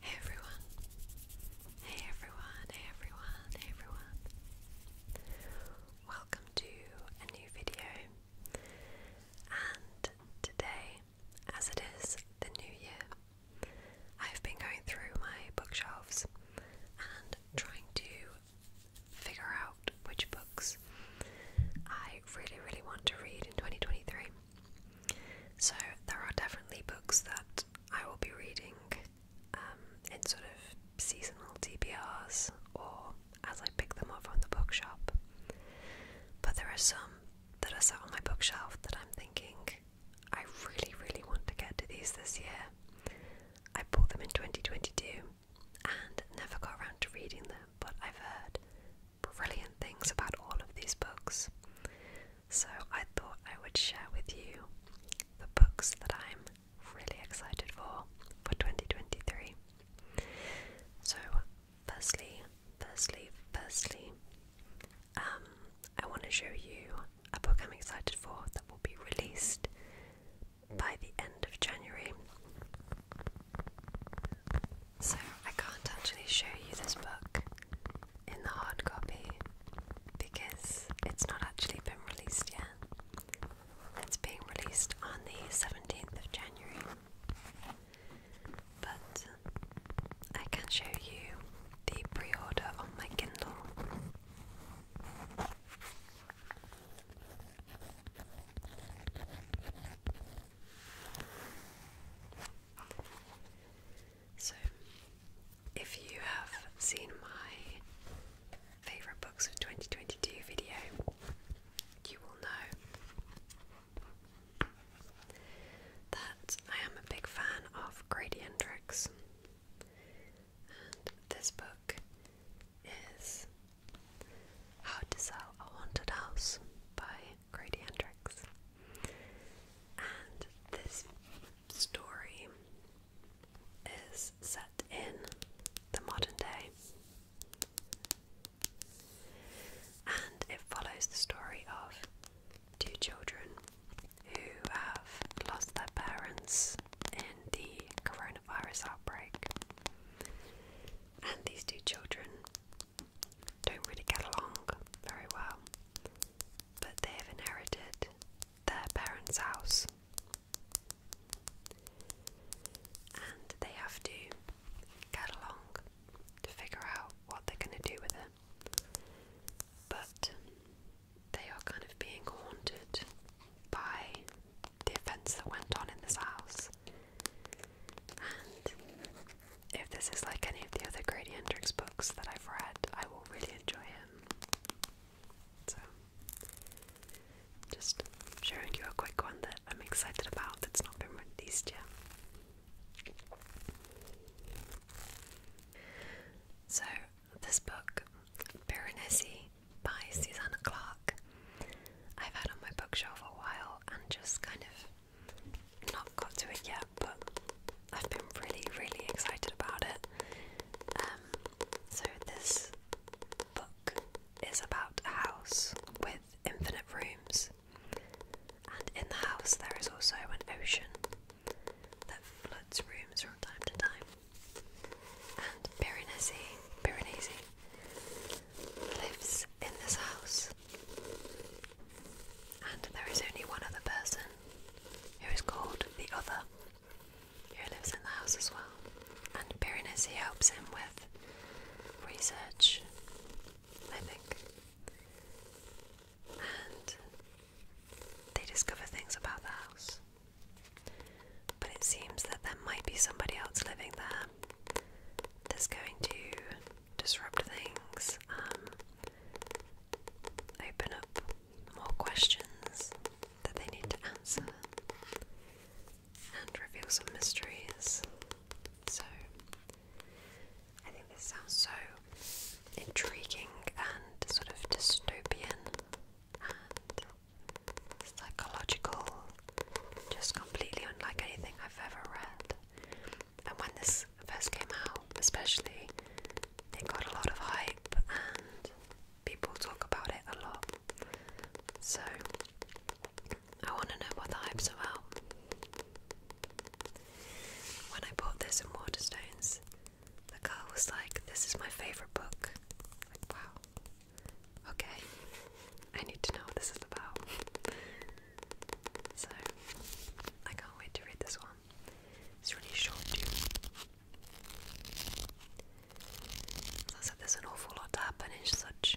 Hey everyone. Hey everyone, hey everyone, hey everyone. Welcome to a new video. And today, as it is the new year, I've been going through my bookshelves and trying to figure out which books I really, really want to read in 2023. So there are definitely books that I will be reading um, in sort of seasonal TBRs or as I pick them up from the bookshop. But there are some that are sat on my bookshelf that I'm thinking I really, really want to get to these this year. I bought them in 2022 and never got around to reading them, but I've heard brilliant things about all of these books. So I thought I would share with you the books that I'm really excited for for 2023. So firstly, firstly, firstly, um, I want to show you a book I'm excited for that will be released by the end of January. So I can't actually show you this book in the hard copy because it's not actually been released yet. It's being released on the 17th of January. But I can show you the pre order on my Kindle. So, if you have seen my favourite books of 2022 video, you will know that I am a big fan of Grady Hendrix, and this book is How to Sell a Haunted House by Grady Hendrix. And this story is set in the modern day. And it follows the story of two children who have lost their parents in the coronavirus outbreak. And these two children don't really get along very well, but they have inherited their parents' house and they have to get along to figure out what they're going to do with it. But they are kind of being haunted by the events that went on in this house. And if this is like any of the other Grady Hendrix books that I've read, I will really enjoy it. So, just showing you a quick one that I'm excited about that's not been released yet. So, this book, Piranesi by Susanna Clark, I've had on my bookshelf for a while and just kind of not got to it yet, but I've been really, really excited about it. Um, so, this book is about a house with infinite rooms, and in the house, there is also an ocean that floods rooms from time to time. And Piranesi, Piranesi lives in this house and there is only one other person who is called the Other, who lives in the house as well. And He helps him with research, I think. And they discover things about the house. But it seems that there might be somebody else living there that's going to disrupt things, um, open up more questions that they need to answer, and reveal some mysteries. So, I think this sounds so intriguing and sort of dystopian and psychological, just completely unlike anything I've ever read and when this first came out, especially, it got a lot of hype and people talk about it a lot. So, I want to know what the hype's about. When I bought this in Waterstones, the girl was like, This is my favourite book. Like, wow. Okay. I need to know what this is about. So I can't wait to read this one. It's really short too. I said, there's an awful lot to happen in such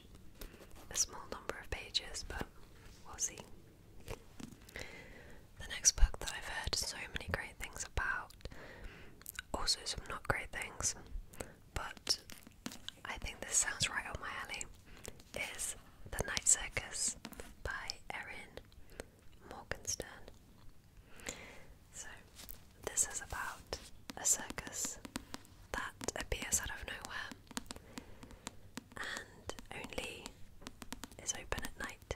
a small number of pages, but we'll see. The next book that I've heard so many great things about, also some not great things, but I think this sounds right up my alley is The Night Circus by Erin Morgenstern. So, this is about a circus that appears out of nowhere and only is open at night.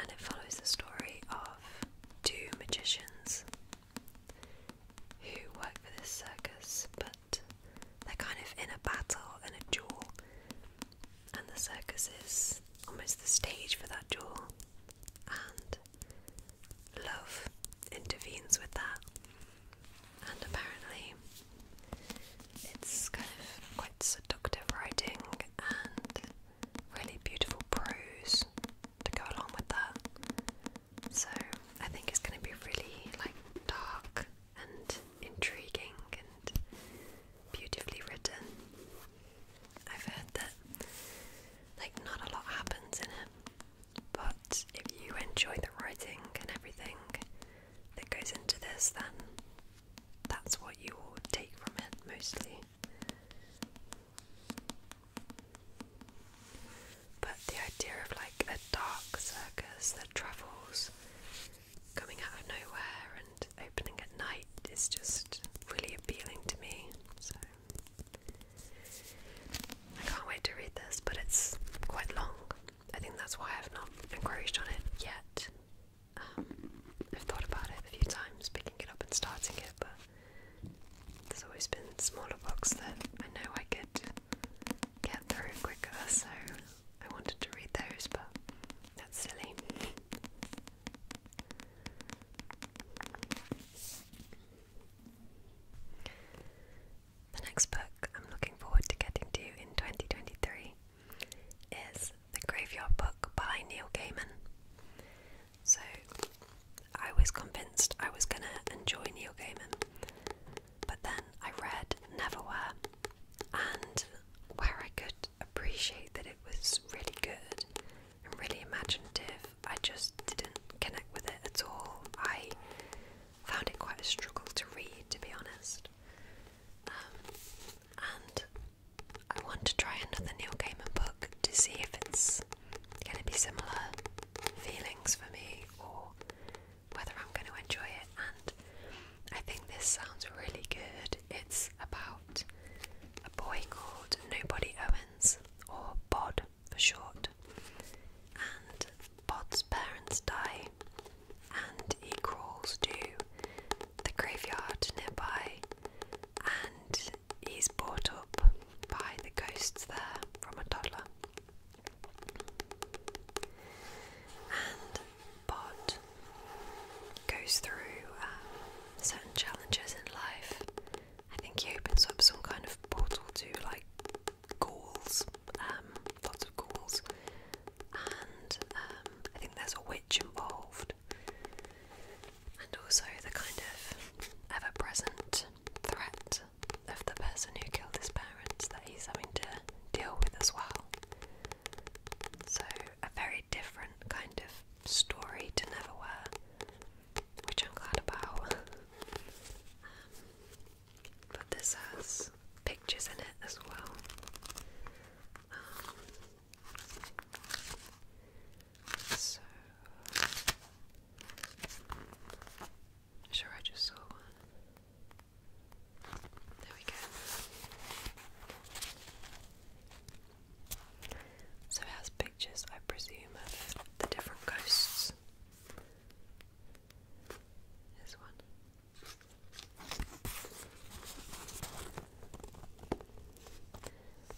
And it follows the story of two magicians who work for this circus but they're kind of in a battle and a duel, and the circus is almost the stage for that duel, and love intervenes with that. And apparently, it's kind of quite seductive writing and really beautiful prose to go along with that. So I think it's going to be really like dark and intriguing and beautifully written. I've heard that like not a lot happens in it, but if you enjoy the writing and everything that goes into this, then that's what you will take from it mostly. But the idea of like a dark circus that travels because coming out of nowhere and opening at night is just really appealing to me. So I can't wait to read this, but it's quite long. I think that's why I've not encouraged on it yet. Um, I've thought about it a few times, picking it up and starting it, but there's always been smaller books that I know I could get through quicker, so I wanted to read those, but that's silly. The next book I'm looking forward to getting to in 2023 is The Graveyard Book by Neil Gaiman. So I was convinced I was going to enjoy Neil Gaiman but then I read Neverwhere, and where I could appreciate that it was really good and really imaginative, I just didn't connect with it at all. I found it quite a struggle to read, to be honest. Um, and I want to try another Neil Gaiman book to see if it's going to be similar feelings for me or whether I'm going to enjoy it. And I think this sounds really good. It's about a boy called Nobody Owens, or Bod for short. And Bod's parents die, and he crawls to the graveyard nearby, and he's brought up by the ghosts there from a toddler. And Bod goes through um, certain challenges in life. I think he opens up some kind of portal to like ghouls, um, lots of ghouls, and um, I think there's a witch involved, and also the kind of ever present threat of the person who killed his parents that he's having to deal with as well. So, a very different kind of story to Neverwhere, which I'm glad about. Um, but this has pictures in it as well. Um, so, sure I just saw one. There we go. So it has pictures, I presume, of the different ghosts. This one.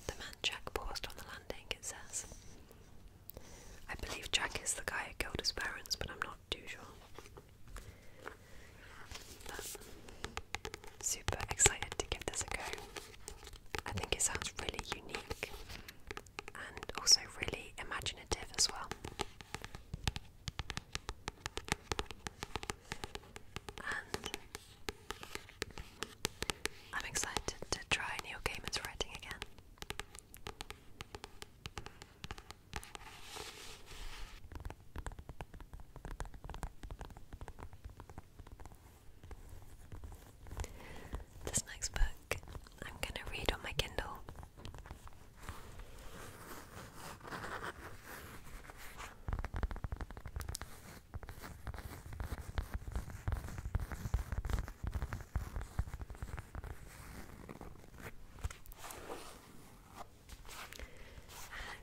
The man Jack paused on the landing, it says. I believe Jack is the guy who killed his parents, but I'm not not super excited to give this a go. I think it sounds really unique and also really imaginative as well. And I'm excited to try Neil Gaiman's writing again. This next book I'm going to read on my Kindle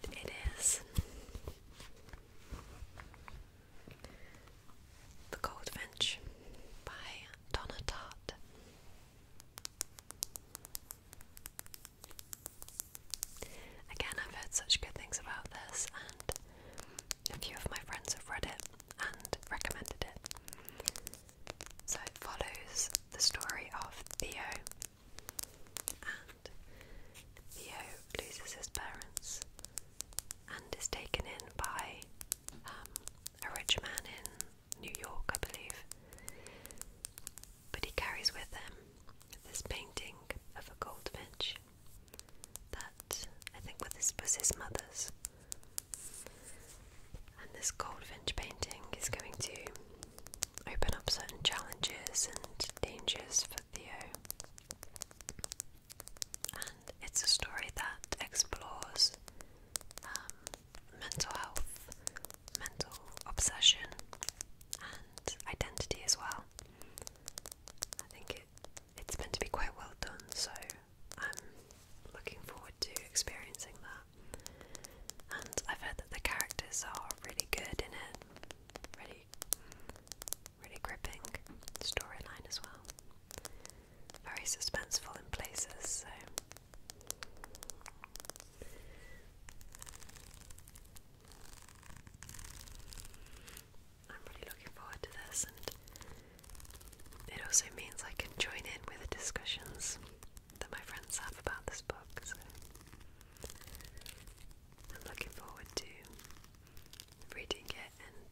and it is The Goldfinch by Donna Tartt. Again, I've heard such good things about this, and a few of my friends have read it and recommended it. So it follows the story of Theo, and Theo loses his parents and is taken in by um, a rich man in New York, I believe. But he carries with him this painting of a goldfinch that I think was his mother's. And this Goldfinch painting is going to open up certain challenges and dangers for Theo. And it's a story that explores um, mental health, mental obsession, and identity as well. I think it's meant to be quite well done, so I'm looking forward to experiencing that. And I've heard that the characters are really good in it. Really really gripping storyline as well. Very suspenseful in places, so I'm really looking forward to this and it also means I can join in with the discussions that my friends have about this book, so I'm looking forward to reading it and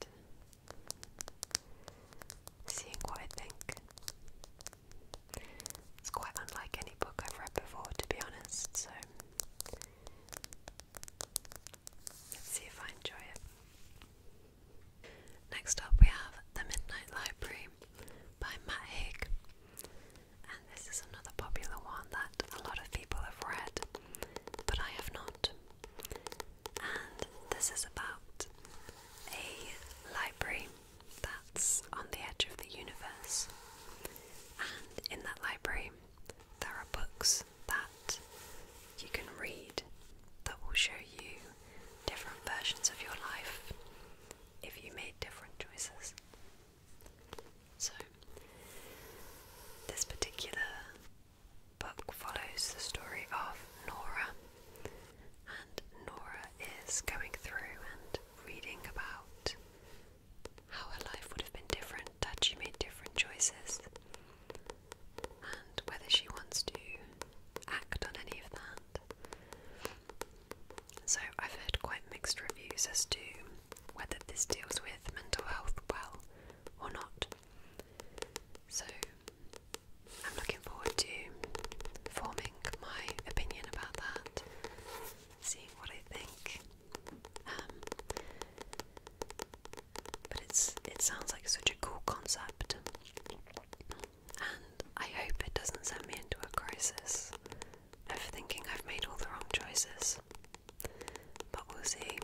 seeing what I think. It's quite unlike any book I've read before, to be honest, so let's see if I enjoy it. Next up, we have The Midnight Library by Matt Haig. And this is another popular one that a lot of people have read, but I have not. And this is about a library that's on the edge of the universe. And in that library, there are books that you can read that will show you different versions of your life if you made different choices. So, this particular book follows the story of Nora, and Nora is going through and reading about how her life would have been different had she made different choices, and whether she wants to act on any of that so I've heard quite mixed reviews as to whether this deals with mental health well or not. So I'm looking forward to forming my opinion about that, seeing what I think. Um, but it's it sounds like such a cool concept, and I hope it doesn't send me into a crisis of thinking I've made all the wrong choices. But we'll see.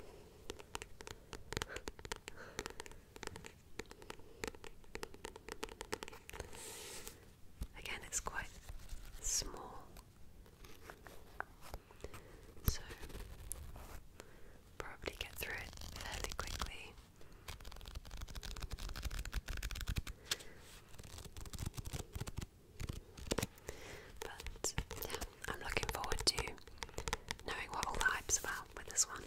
Again, it's quite small. So, probably get through it fairly quickly. But yeah, I'm looking forward to knowing what all the hype's about with this one.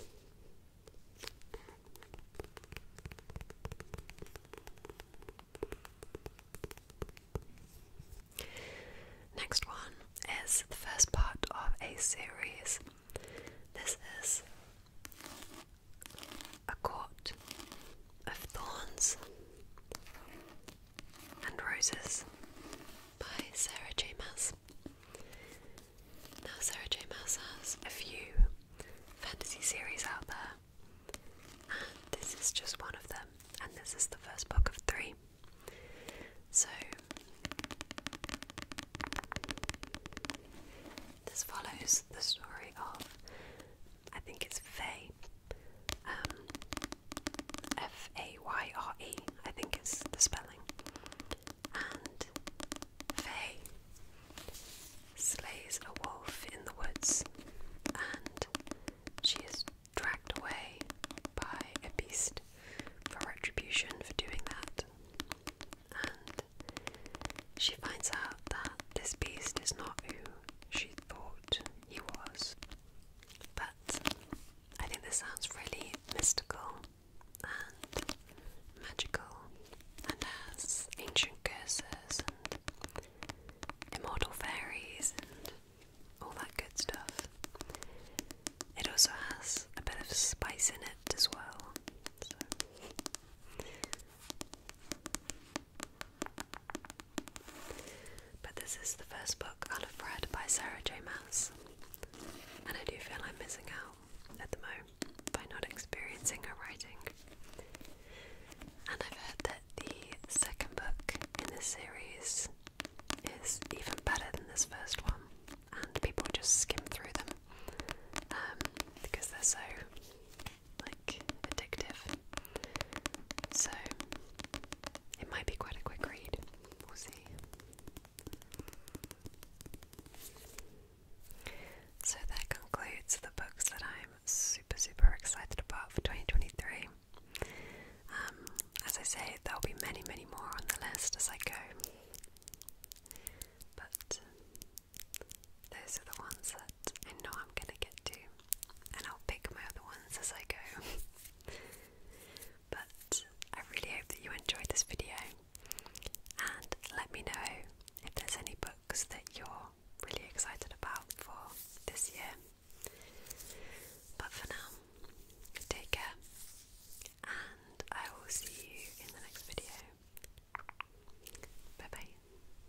Next one is the first part of a series. This is a court of thorns and roses by Sarah J. Maas. Now, Sarah J. Maas has a few fantasy series out there, and this is just one of them, and this is the first book of three. So, this follows the story of I think it's Fay. Um, F A Y R E, I think is the spelling. And Fay slays a wolf in the woods, and she is dragged away by a beast for retribution for doing that. And she finds out that this beast is not you she thought he was. But I think this sounds really mystical and magical and has ancient curses and immortal fairies and all that good stuff. It also has a bit of spice in it as well. But this is the first book I'll by Sarah J. Maas, and I do feel I'm missing out at the moment by not experiencing her writing. And I've heard that the second book in this series is even better than this first one, and people just skim through them um, because they're so like addictive. So it might be quite a quick read. We'll see. So that concludes the books that I'm super super excited about for 2023. Um, as I say, there'll be many many more on the list as I go. But those are the ones that I know I'm gonna get to, and I'll pick my other ones as I go. but I really hope that you enjoyed this video, and let me know if there's any books that you're really excited about for this year. But for now, take care, and I will see you in the next video. Bye bye.